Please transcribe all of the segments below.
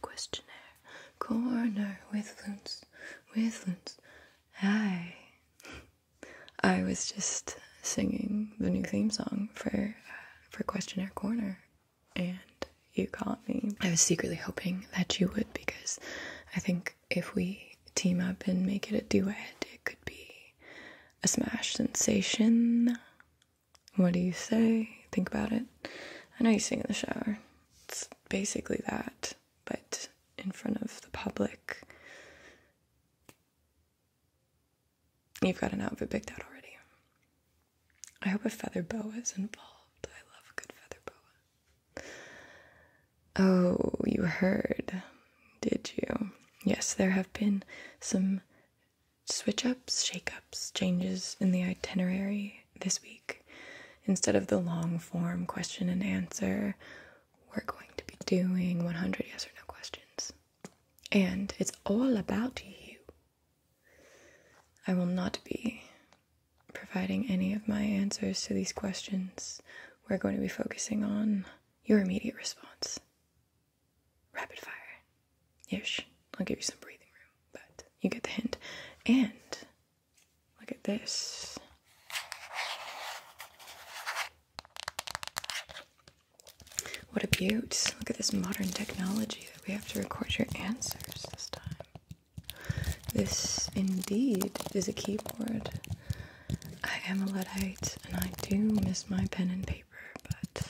questionnaire corner with loons, with loons. Hi. I was just singing the new theme song for uh, for questionnaire corner, and you caught me. I was secretly hoping that you would because I think if we team up and make it a duet, it could be a smash sensation. What do you say? Think about it. I know you sing in the shower. It's basically that, but in front of the public. You've got an outfit picked out already. I hope a feather boa is involved. I love a good feather boa. Oh, you heard, did you? Yes, there have been some switch ups, shake ups, changes in the itinerary this week. Instead of the long form question and answer, we're going to be doing 100 yes or no questions. And it's all about you. I will not be providing any of my answers to these questions. We're going to be focusing on your immediate response. Rapid fire ish. I'll give you some breathing room, but you get the hint. And look at this. What a beaut. Look at this modern technology that we have to record your answers this time. This indeed is a keyboard. I am a Luddite and I do miss my pen and paper but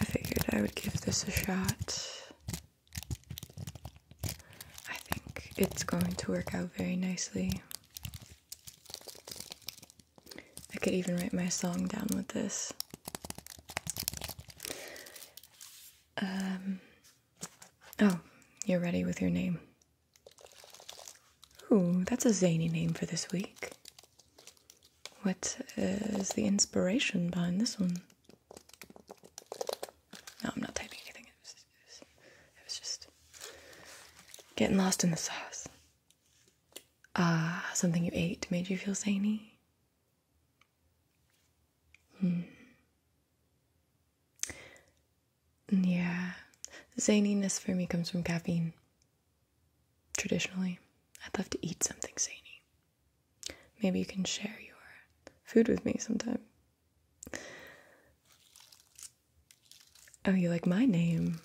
I figured I would give this a shot. I think it's going to work out very nicely. I could even write my song down with this. Um, oh, you're ready with your name. Ooh, that's a zany name for this week. What is the inspiration behind this one? No, I'm not typing anything. It was, just getting lost in the sauce. Ah, something you ate made you feel zany? Hmm. Yeah. Zaniness for me comes from caffeine. Traditionally, I'd love to eat something zany. Maybe you can share your food with me sometime. Oh, you like my name?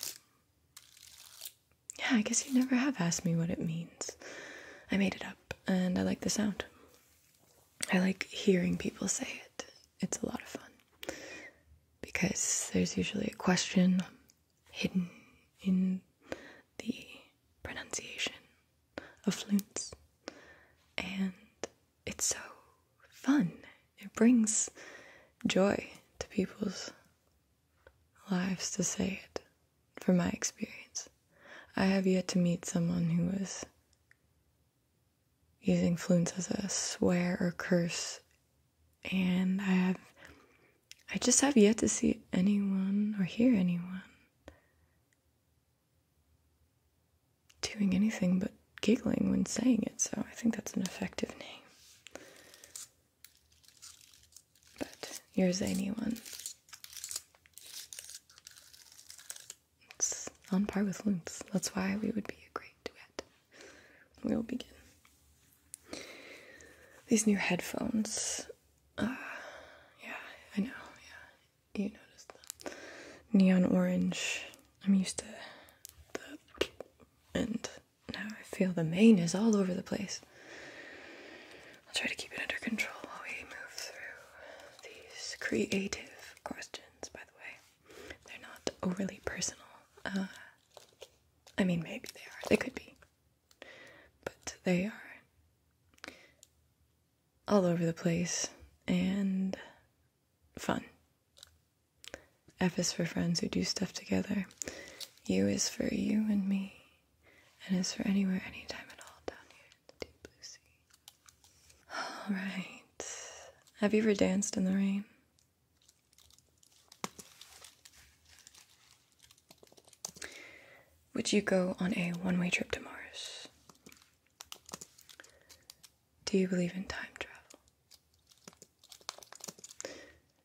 Yeah, I guess you never have asked me what it means. I made it up, and I like the sound. I like hearing people say it. It's a lot of fun. Because there's usually a question hidden in the pronunciation of flutes, and it's so fun. It brings joy to people's lives to say it, from my experience. I have yet to meet someone who was using flutes as a swear or curse, and I have I just have yet to see anyone or hear anyone doing anything but giggling when saying it, so I think that's an effective name. But yours, anyone. It's on par with Loomps. That's why we would be a great duet. We'll begin. These new headphones. Uh, yeah, I know. Yeah, you noticed neon orange. I'm used to the. And now I feel the mane is all over the place. I'll try to keep it under control while we move through these creative questions, by the way. They're not overly personal. Uh, I mean, maybe they are. They could be. But they are all over the place and fun. F is for friends who do stuff together. U is for you and me. And is for anywhere, anytime at all down here in the deep blue sea. Alright. Have you ever danced in the rain? Would you go on a one way trip to Mars? Do you believe in time travel?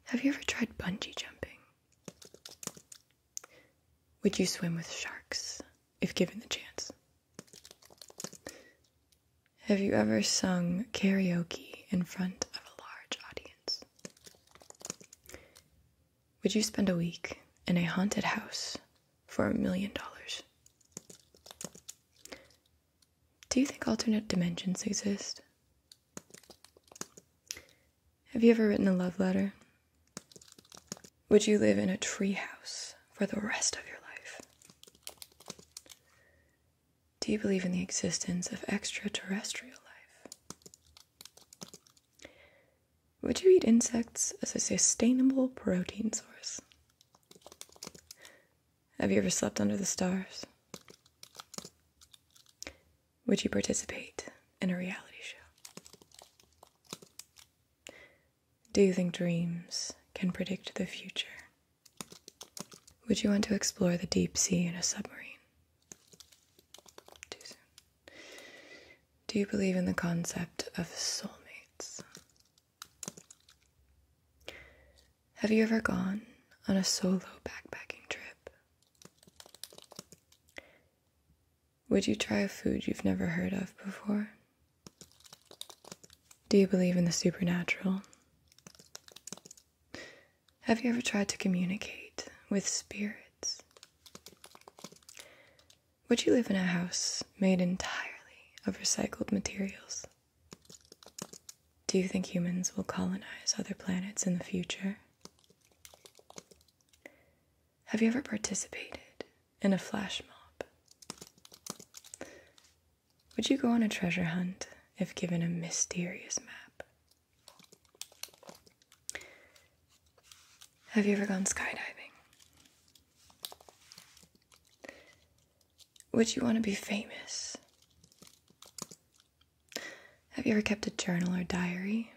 Have you ever tried bungee jumping? Would you swim with sharks if given the chance? Have you ever sung karaoke in front of a large audience? Would you spend a week in a haunted house for a million dollars? Do you think alternate dimensions exist? Have you ever written a love letter? Would you live in a tree house for the rest of your life? Do you believe in the existence of extraterrestrial life? Would you eat insects as a sustainable protein source? Have you ever slept under the stars? Would you participate in a reality show? Do you think dreams can predict the future? Would you want to explore the deep sea in a submarine? Do you believe in the concept of soulmates? Have you ever gone on a solo backpacking trip? Would you try a food you've never heard of before? Do you believe in the supernatural? Have you ever tried to communicate with spirits? Would you live in a house made entirely of recycled materials? Do you think humans will colonize other planets in the future? Have you ever participated in a flash mob? Would you go on a treasure hunt if given a mysterious map? Have you ever gone skydiving? Would you want to be famous? Have you ever kept a journal or diary?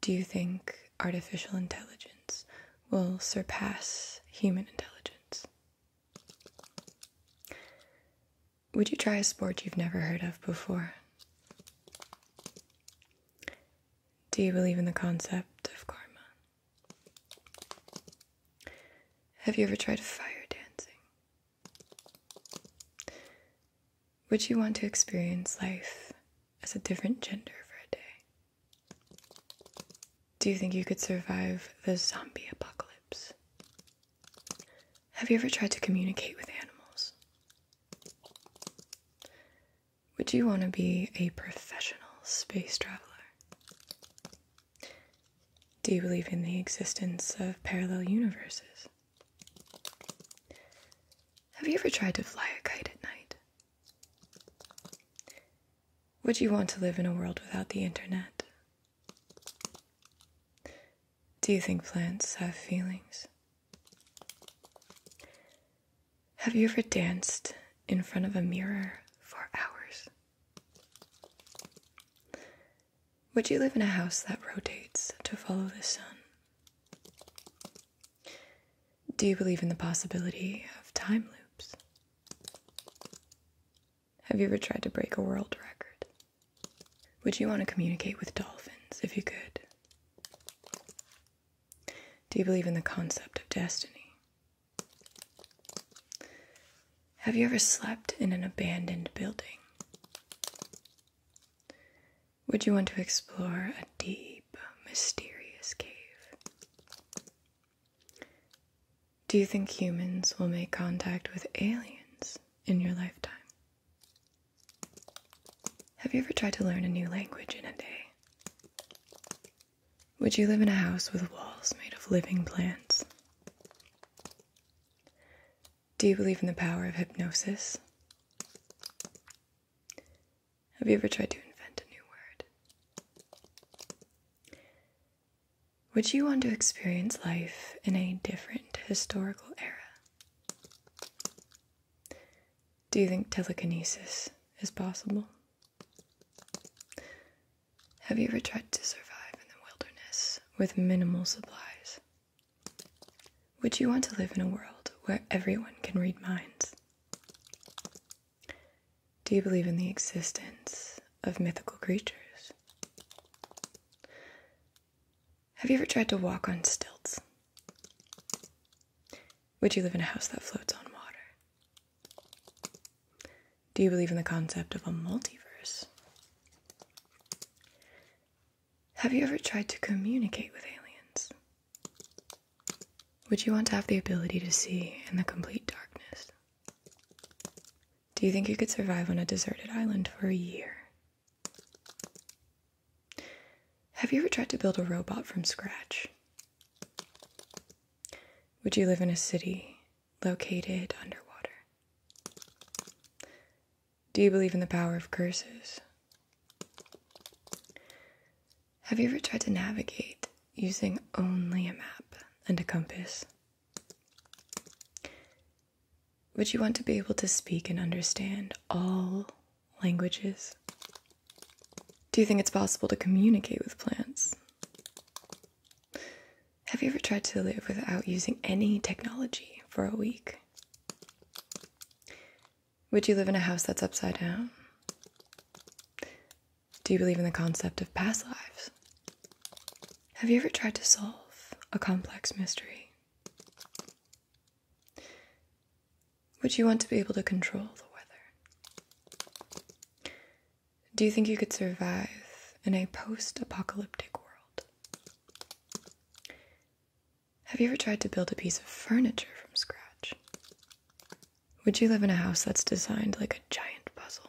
Do you think artificial intelligence will surpass human intelligence? Would you try a sport you've never heard of before? Do you believe in the concept of karma? Have you ever tried fire dancing? Would you want to experience life as a different gender for a day? Do you think you could survive the zombie apocalypse? Have you ever tried to communicate with animals? Would you want to be a professional space traveler? Do you believe in the existence of parallel universes? Have you ever tried to fly a kite at night? Would you want to live in a world without the internet? Do you think plants have feelings? Have you ever danced in front of a mirror for hours? Would you live in a house that rotates to follow the sun? Do you believe in the possibility of time loops? Have you ever tried to break a world record? Would you want to communicate with dolphins if you could? Do you believe in the concept of destiny? Have you ever slept in an abandoned building? Would you want to explore a deep, mysterious cave? Do you think humans will make contact with aliens in your lifetime? Have you ever tried to learn a new language in a day? Would you live in a house with walls made of living plants? Do you believe in the power of hypnosis? Have you ever tried to invent a new word? Would you want to experience life in a different historical era? Do you think telekinesis is possible? Have you ever tried to survive in the wilderness with minimal supplies? Would you want to live in a world where everyone can read minds? Do you believe in the existence of mythical creatures? Have you ever tried to walk on stilts? Would you live in a house that floats on water? Do you believe in the concept of a multiverse? Have you ever tried to communicate with aliens? Would you want to have the ability to see in the complete darkness? Do you think you could survive on a deserted island for a year? Have you ever tried to build a robot from scratch? Would you live in a city located underwater? Do you believe in the power of curses? Have you ever tried to navigate using only a map and a compass? Would you want to be able to speak and understand all languages? Do you think it's possible to communicate with plants? Have you ever tried to live without using any technology for a week? Would you live in a house that's upside down? Do you believe in the concept of past lives? Have you ever tried to solve a complex mystery? Would you want to be able to control the weather? Do you think you could survive in a post apocalyptic world? Have you ever tried to build a piece of furniture from scratch? Would you live in a house that's designed like a giant puzzle?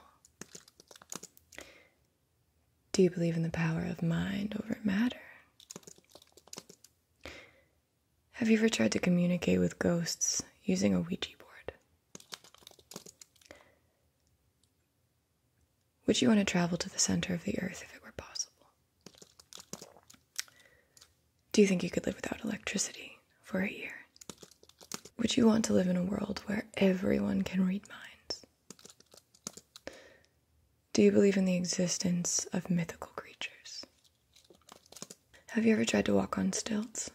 Do you believe in the power of mind over matter? Have you ever tried to communicate with ghosts using a Ouija board? Would you want to travel to the center of the earth if it were possible? Do you think you could live without electricity for a year? Would you want to live in a world where everyone can read minds? Do you believe in the existence of mythical creatures? Have you ever tried to walk on stilts?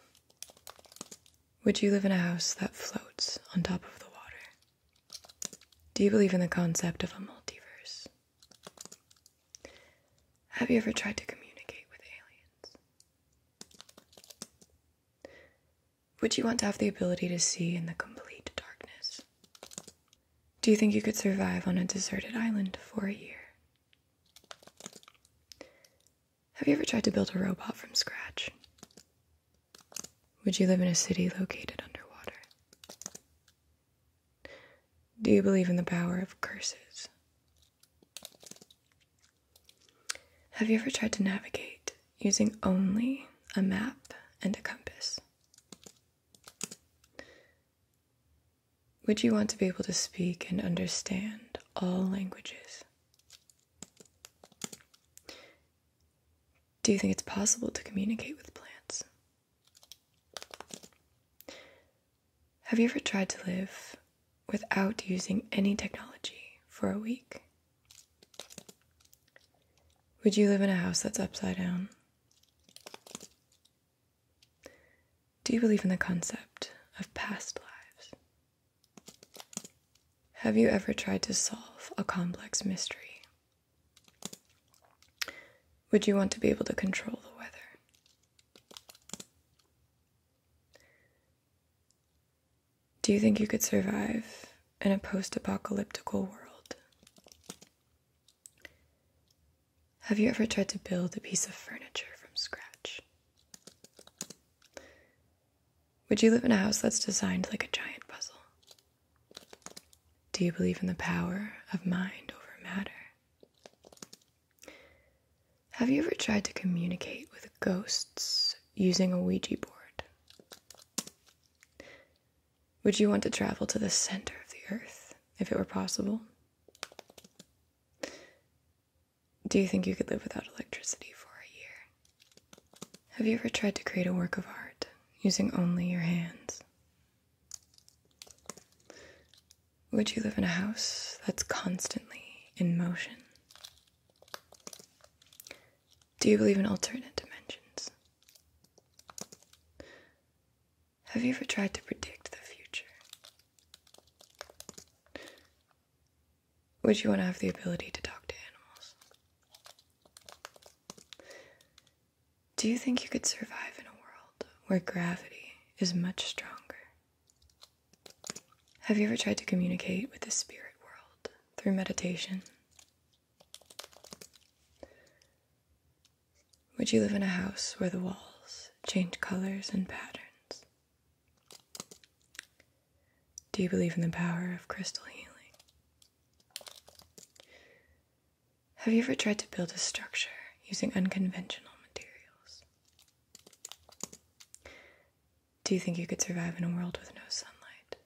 Would you live in a house that floats on top of the water? Do you believe in the concept of a multiverse? Have you ever tried to communicate with aliens? Would you want to have the ability to see in the complete darkness? Do you think you could survive on a deserted island for a year? Have you ever tried to build a robot from scratch? Would you live in a city located underwater? Do you believe in the power of curses? Have you ever tried to navigate using only a map and a compass? Would you want to be able to speak and understand all languages? Do you think it's possible to communicate with plants? Have you ever tried to live without using any technology for a week? Would you live in a house that's upside down? Do you believe in the concept of past lives? Have you ever tried to solve a complex mystery? Would you want to be able to control the weather? Do you think you could survive in a post apocalyptic world? Have you ever tried to build a piece of furniture from scratch? Would you live in a house that's designed like a giant puzzle? Do you believe in the power of mind over matter? Have you ever tried to communicate with ghosts using a Ouija board? Would you want to travel to the center of the earth if it were possible? Do you think you could live without electricity for a year? Have you ever tried to create a work of art using only your hands? Would you live in a house that's constantly in motion? Do you believe in alternate dimensions? Have you ever tried to predict the future? Would you want to have the ability to talk to animals? Do you think you could survive in a world where gravity is much stronger? Have you ever tried to communicate with the spirit world through meditation? Would you live in a house where the walls change colors and patterns? Do you believe in the power of crystal healing? Have you ever tried to build a structure using unconventional materials? Do you think you could survive in a world with no sunlight?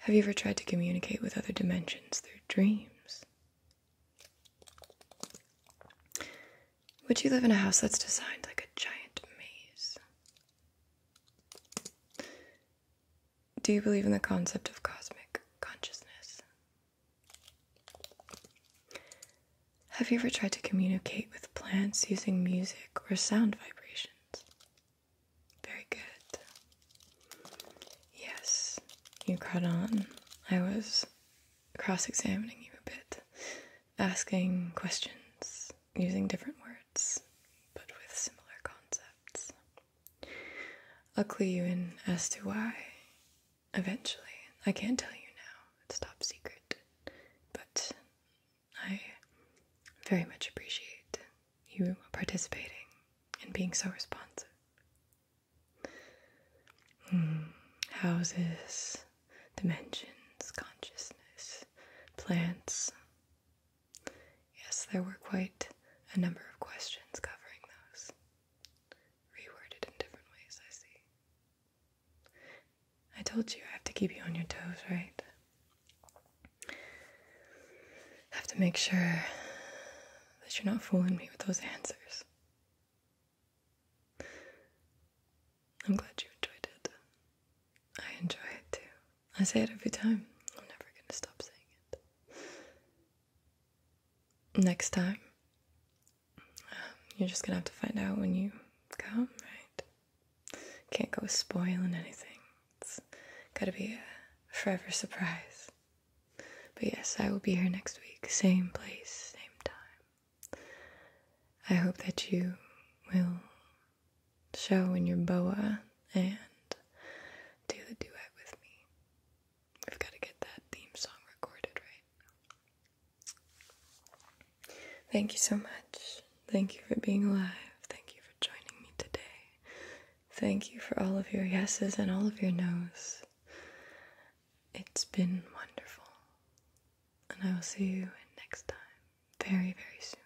Have you ever tried to communicate with other dimensions through dreams? Would you live in a house that's designed like a giant maze? Do you believe in the concept of cosmic consciousness? Have you ever tried to communicate with plants using music or sound vibrations? Very good. Yes, you caught on. I was cross examining you a bit, asking questions using different words but with similar concepts. I'll clue you in as to why eventually. I can't tell you now, it's top secret, but I very much appreciate you participating and being so responsive. Hmm, houses, dimensions, consciousness, plants, Yes, there were quite a number of questions covering those. Reworded in different ways, I see. I told you I have to keep you on your toes, right? I have to make sure that you're not fooling me with those answers. I'm glad you enjoyed it. I enjoy it too. I say it every time. I'm never going to stop saying it. Next time, um, you're just going to have to find out when you come, right? Can't go spoiling anything. It's got to be a forever surprise. But yes, I will be here next week. Same place, same time. I hope that you will show in your boa and do the duet with me. We've got to get that theme song recorded, right? Thank you so much. Thank you for being alive. Thank you for joining me today. Thank you for all of your yeses and all of your noes. It's been wonderful. And I will see you next time very, very soon.